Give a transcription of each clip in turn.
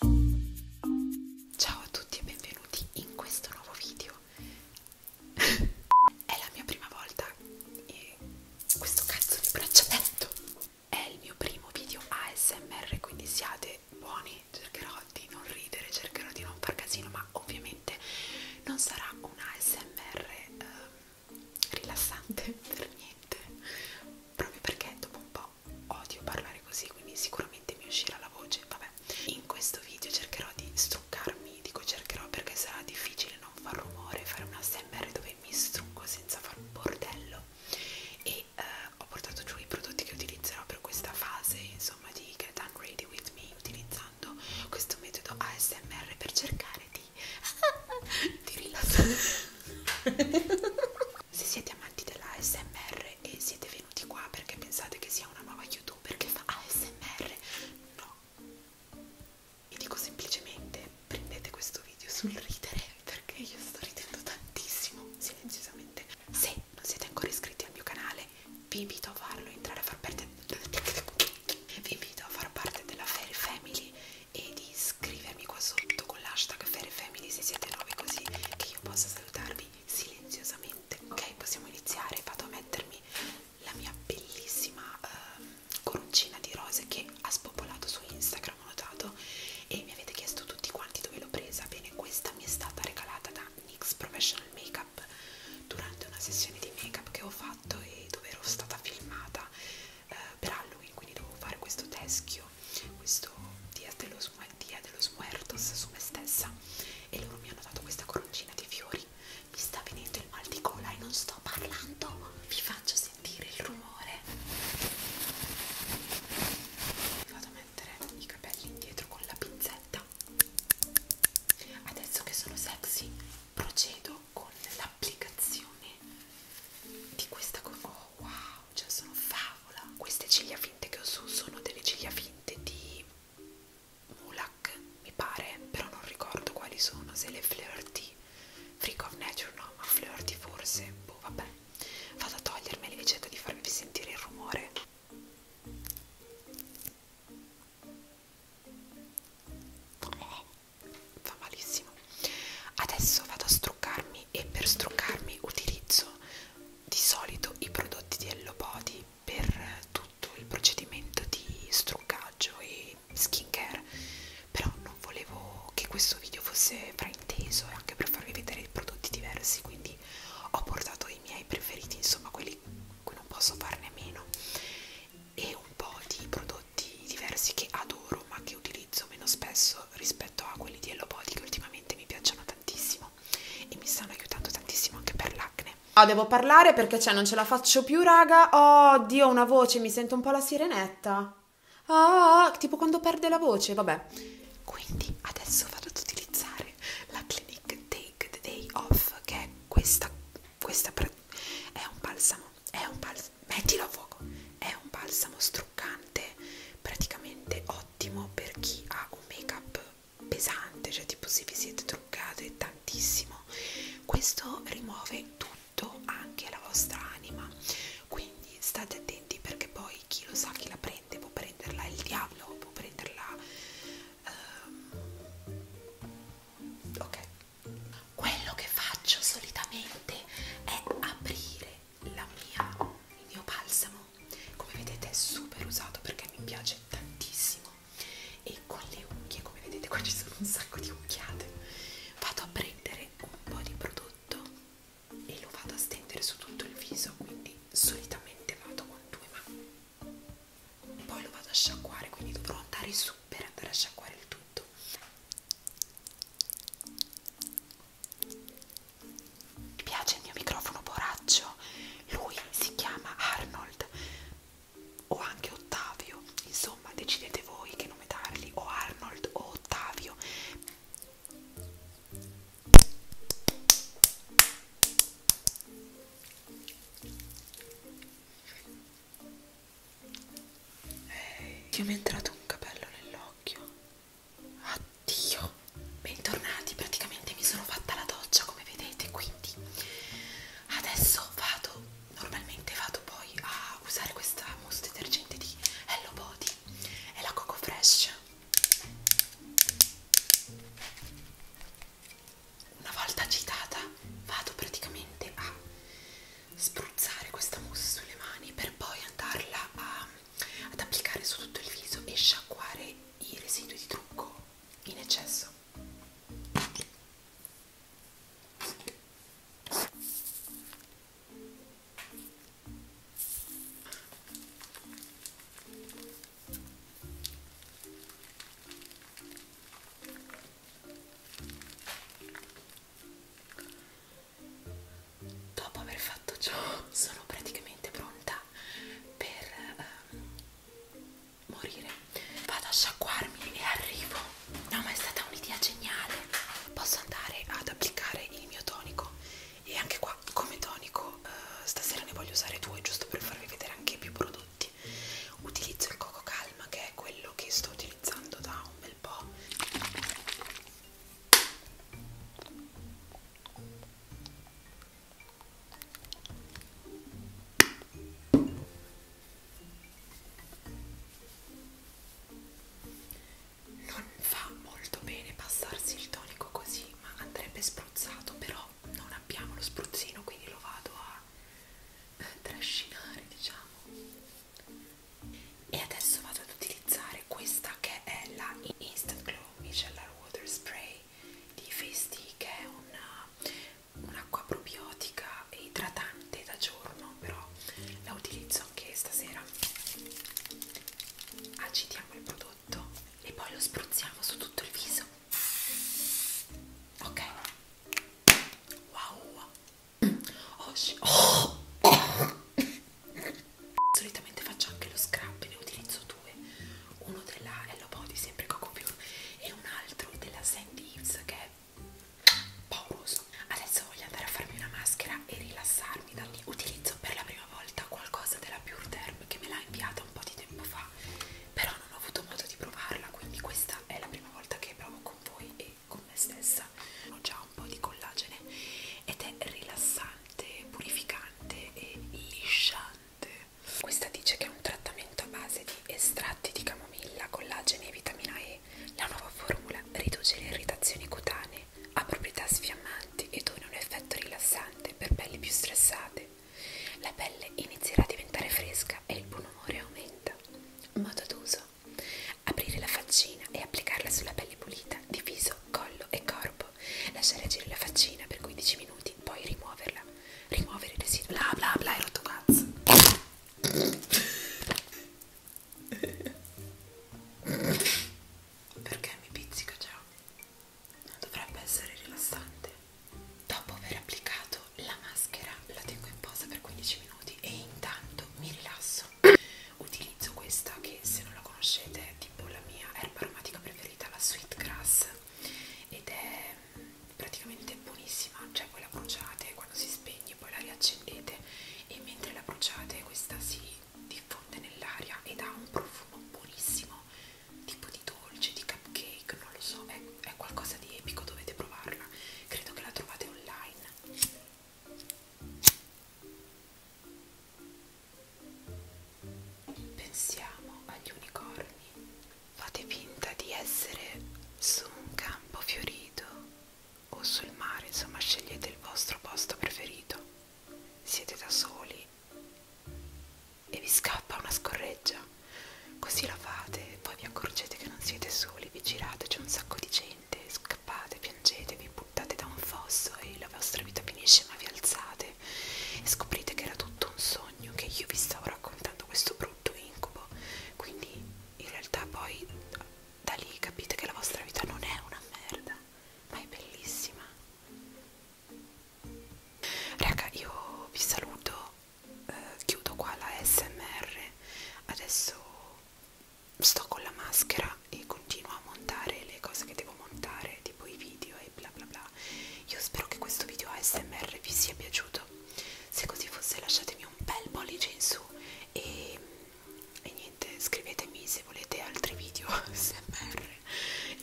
Ciao a tutti e benvenuti in questo nuovo video. È la mia prima volta e questo cazzo di braccialetto è il mio primo video ASMR, quindi siate buoni, cercherò di non ridere, cercherò di non far casino, ma ovviamente non sarà un ASMR eh, rilassante per niente, proprio perché dopo un po' odio parlare così quindi sicuramente mi uscirà la voce vabbè in questo video cercherò di struccarmi dico cercherò perché sarà difficile non far rumore fare una SMR dove mi strucco senza far bordello e eh, ho portato giù i prodotti che utilizzerò per questa fase insomma di Get Ready With Me utilizzando questo metodo ASMR per cercare di, di rilassare se siete amanti dell'ASMR e siete venuti qua perché pensate che sia una nuova youtuber che fa ASMR, no. Vi dico semplicemente prendete questo video sul ridere perché io sto ridendo tantissimo, silenziosamente. Se non siete ancora iscritti al mio canale, vi invito a farlo, entrare a far parte vi invito a far parte della Fairy Family e di scrivermi qua sotto con l'hashtag FairFamily679 così che io possa salutarvi silenziosamente. Ok, possiamo iniziare. Vado a mettermi la mia bellissima uh, coroncina di rose che ha spopolato su Instagram, ho notato, e mi avete chiesto tutti quanti dove l'ho presa. Bene, questa mi è stata regalata da NYX Professional Makeup durante una sessione di make up che ho fatto e dove ero stata filmata eh, per Halloween, quindi dovevo fare questo teschio, questo dia dello, dia dello Smuertos su me stessa e loro mi hanno dato questa coroncina di fiori. Mi sta venendo il mal di gola e non sto parlando, vi faccio sentire il rumore. Vado a mettere i capelli indietro con la pinzetta. Adesso che sono sexy, procedo con l'applicazione di questa coroncina. Oh wow! cioè sono favola queste ciglia finte che ho su sono delle ciglia finte di Mulak mi pare però non ricordo quali sono se le flirty freak of nature no ma flirty forse boh vabbè vado a togliermele e cerco di farvi sentire il rumore fa malissimo adesso vado a struccarmi e per struccarmi utilizzo di solito i prodotti di Hello Body per tutto il procedimento di struccaggio e skincare però non volevo che questo video fosse frainteso e anche per farvi vedere prodotti diversi quindi ho portato i miei preferiti insomma quelli cui non posso farne a meno e un po' di prodotti prodotti diversi che adoro ma che utilizzo meno spesso rispetto a quelli di Hello Body che ultimamente mi piacciono tantissimo e mi stanno aiutando tantissimo anche per l'acne. Oh, devo parlare perché cioè non ce la faccio più raga, oh Dio una voce, mi sento un po' la sirenetta, oh, tipo quando perde la voce, vabbè. Quindi adesso vado ad utilizzare la Clinique Take the Day Off che è questa, questa è un balsamo è un balsamo, mettilo a fuoco, è un balsamo struccante, praticamente ottimo per chi ha un make up pesante, cioè tipo se vi siete truccate tantissimo, questo rimuove tutto, anche la vostra anima, quindi state attenti perché poi chi lo sa chi la prende, può prenderla il diavolo, può prenderla... Uh, ok quello che faccio solitamente è aprire la mia, il mio balsamo, come vedete è super usato perché mi piace tantissimo e con le unghie, come vedete qua ci sono un sacco di unchiate, vado a prendere un po' di prodotto e lo vado a stendere su tutto il viso, quindi solitamente vado con due mani poi lo vado a sciacquare quindi dovrò andare su per andare a sciacquare il tutto ti piace il mio microfono boraccio? Lui si chiama Arnold o anche Ottavio, insomma decidete voi che nome dargli, o Arnold o Ottavio. Che eh, mi è entrato un capello nell'occhio. Addio! Bentornati, praticamente mi sono fatta la doccia come vedete, quindi adesso vado, normalmente vado poi a usare questa mousse detergente di Hello Body, è la Coco Fresh. Una volta agitata vado praticamente a spruzzare questa mousse sulle mani per poi andarla a, ad applicare su tutto il viso e sciacquare i residui di trucco in eccesso Dopo aver fatto ciò sono praticamente pronta per um, morire. Vado a sciacquarmi e arrivo. No, ma è stata un'idea geniale. Posso andare ad applicare il mio tonico e anche qua come tonico uh, stasera ne voglio usare due giusto per farvi vedere anche più prodotti. Utilizzo il Coco Calm che è quello che sto utilizzando da un bel po' non fa molto bene passarsi il tonico così ma andrebbe spruzzato però non abbiamo lo spruzzino quindi lo vado a eh, trascinare diciamo e adesso vado ad utilizzare questa che è la Instant Glow Micellar Water Spray di Face D, che è un'acqua un probiotica e idratante da giorno però la utilizzo anche stasera agitiamo il prodotto e poi lo spruzziamo su tutto il viso ok wow Oggi... Oh. Solitamente faccio anche lo scrub, ne utilizzo due. Uno della Hello Body, sempre che ho compiuto, e un altro della Sandy Hips che è pauroso. Adesso voglio andare a farmi una maschera e rilassarmi da lì. Utilizzo per la prima volta qualcosa della Pure Derm che me l'ha inviata un po' di tempo fa, però non ho avuto modo di provarla, quindi questa questa è la prima volta che provo con voi e con me stessa ho già un po' di collagene ed è rilassante, purificante e lisciante questa dice che è un trattamento a base di estratti di camomilla, collagene e vitamina E la nuova formula riduce le irritazioni cutanee ha proprietà sfiammanti e dona un effetto rilassante per pelli più stressate la pelle inizierà a diventare fresca e il buon umore aumenta Modo d'uso. Aprire la faccina e applicarla sulla pelle pulita di viso, collo e corpo. Lasciare agire la faccina per 15 minuti, poi rimuoverla. Rimuovere i residui. Bla bla bla, è rotto cazzo. Perché mi pizzica già? Non dovrebbe essere rilassante. Dopo aver applicato la maschera la tengo in posa per 15 minuti e intanto mi rilasso. Utilizzo questa che se non la conoscete è tipo la mia erba aromatica preferita, la Sweet Grass ed è mm, praticamente buonissima, cioè voi la bruciate quando si spegne poi la riaccendete e mentre la bruciate questa si diffonde nell'aria ed ha un profumo buonissimo tipo di dolce, di cupcake, non lo so, è è qualcosa di epico, dovete provarla. Credo che la trovate online. Pensiamo agli unicorni. Fate finta di essere su un campo fiorito o sul mare, insomma scegliete il vostro posto preferito. Siete da soli e vi scappa una scorreggia. Così la fate e poi vi accorgete che non siete soli, vi girate, c'è un sacco di gente, scappate, piangete, vi buttate da un fosso e la vostra vita finisce ma vi alzate e scoprite che era tutto un sogno, che io vi stavo raccontando questo brutto incubo. Quindi in realtà poi da lì capite che la vostra vita non è una merda, ma è bellissima. Raga, io vi saluto eh, chiudo qua la smr adesso sto con la maschera e continuo a montare le cose che devo montare tipo i video e bla bla bla io spero che questo video ASMR vi sia piaciuto se così fosse lasciatemi un bel pollice in su e, e niente scrivetemi se volete altri video ASMR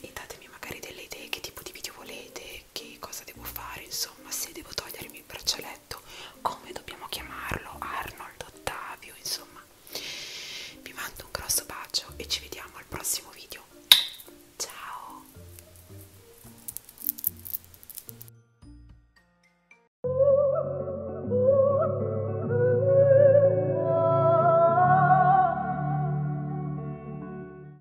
e datemi magari delle idee che tipo di video volete che cosa devo fare, insomma, se devo togliermi il braccialetto, come dobbiamo chiamarlo, Arnold, Ottavio, insomma. Vi mando un grosso bacio e ci vediamo al prossimo video. Ciao!